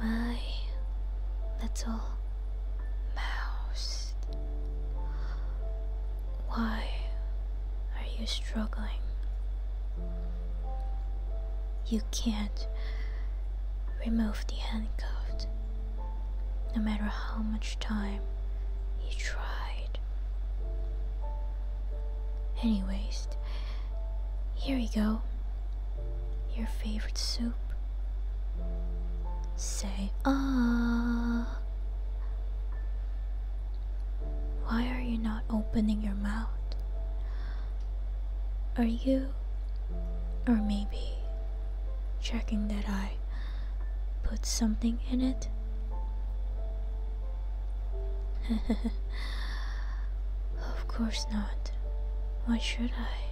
My all. Mouse. Why are you struggling? You can't remove the handcuffs. no matter how much time you tried. Anyways, here we go your favorite soup. Say, ah. Why are you not opening your mouth? Are you, or maybe, checking that I put something in it? of course not. Why should I?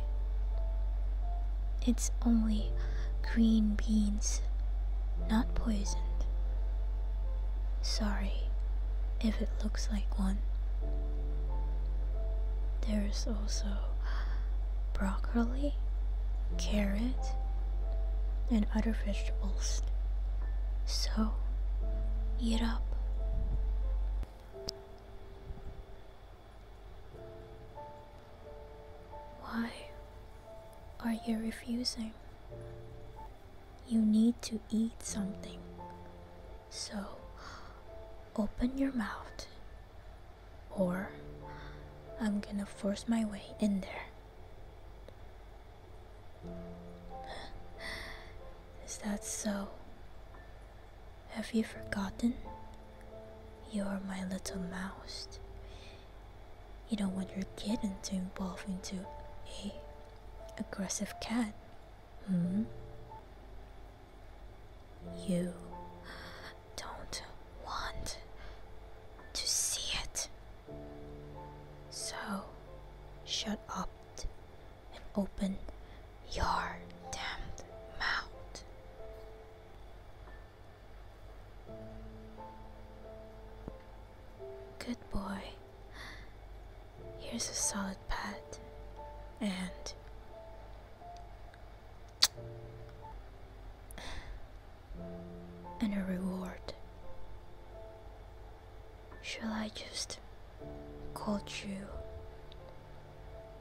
It's only green beans, not poisoned. Sorry if it looks like one. There's also broccoli, carrot, and other vegetables. So, eat up. Why are you refusing? You need to eat something. So open your mouth, or I'm gonna force my way in there. Is that so? Have you forgotten? You're my little mouse. You don't want your kitten to evolve into a aggressive cat, hmm? You don't want to see it. So shut up and open your damned mouth. Good boy. Here's a solid pat and and a reward. Shall I just call you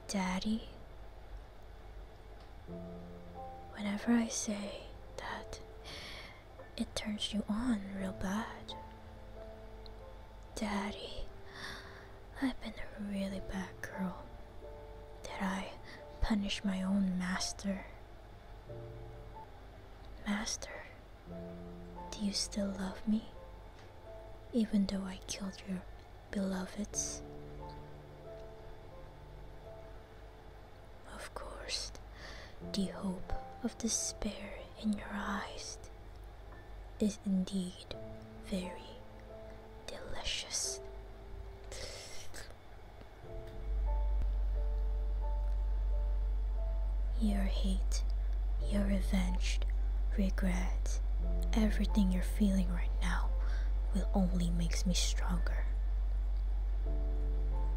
Daddy? Whenever I say that, it turns you on real bad. Daddy, I've been a really bad girl. Did I punish my own master? Master, do you still love me? Even though I killed you beloveds. Of course, the hope of despair in your eyes is indeed very delicious. Your hate, your revenge, regret, everything you are feeling right now will only makes me stronger.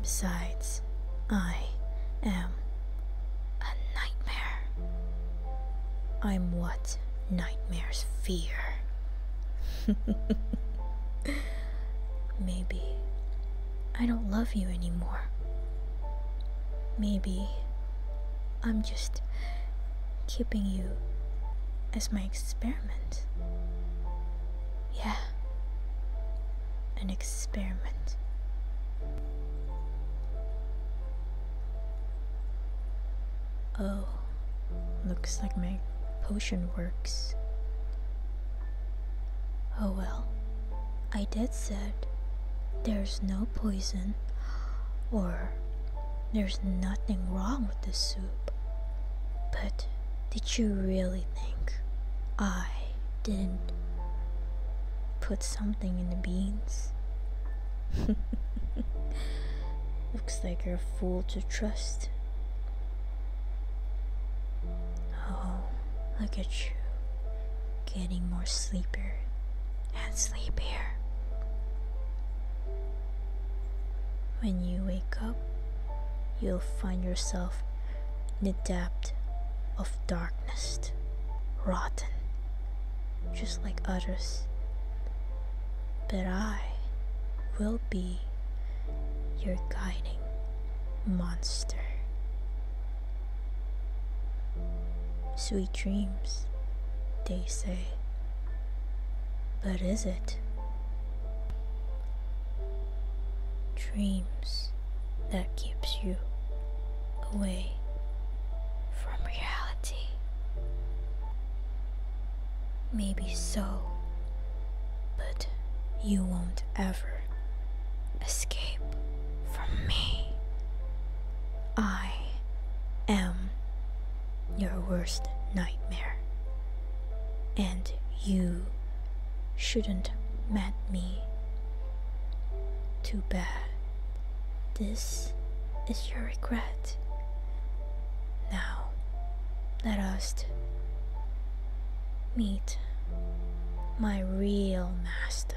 Besides, I am a nightmare. I'm what nightmares fear. Maybe I don't love you anymore. Maybe I'm just keeping you as my experiment. Yeah, an experiment. Oh, looks like my potion works. Oh well, I did said there's no poison or there's nothing wrong with the soup. But did you really think I didn't put something in the beans? Looks like you're a fool to trust. Oh, look at you, getting more sleepier and sleep here. When you wake up, you'll find yourself in the depth of darkness, rotten, just like others. But I will be your guiding monster. Sweet dreams, they say. But is it? Dreams that keeps you away from reality. Maybe so, but you won't ever escape from me. I am your worst nightmare. And you shouldn't met me. Too bad. This is your regret. Now, let us meet my real master.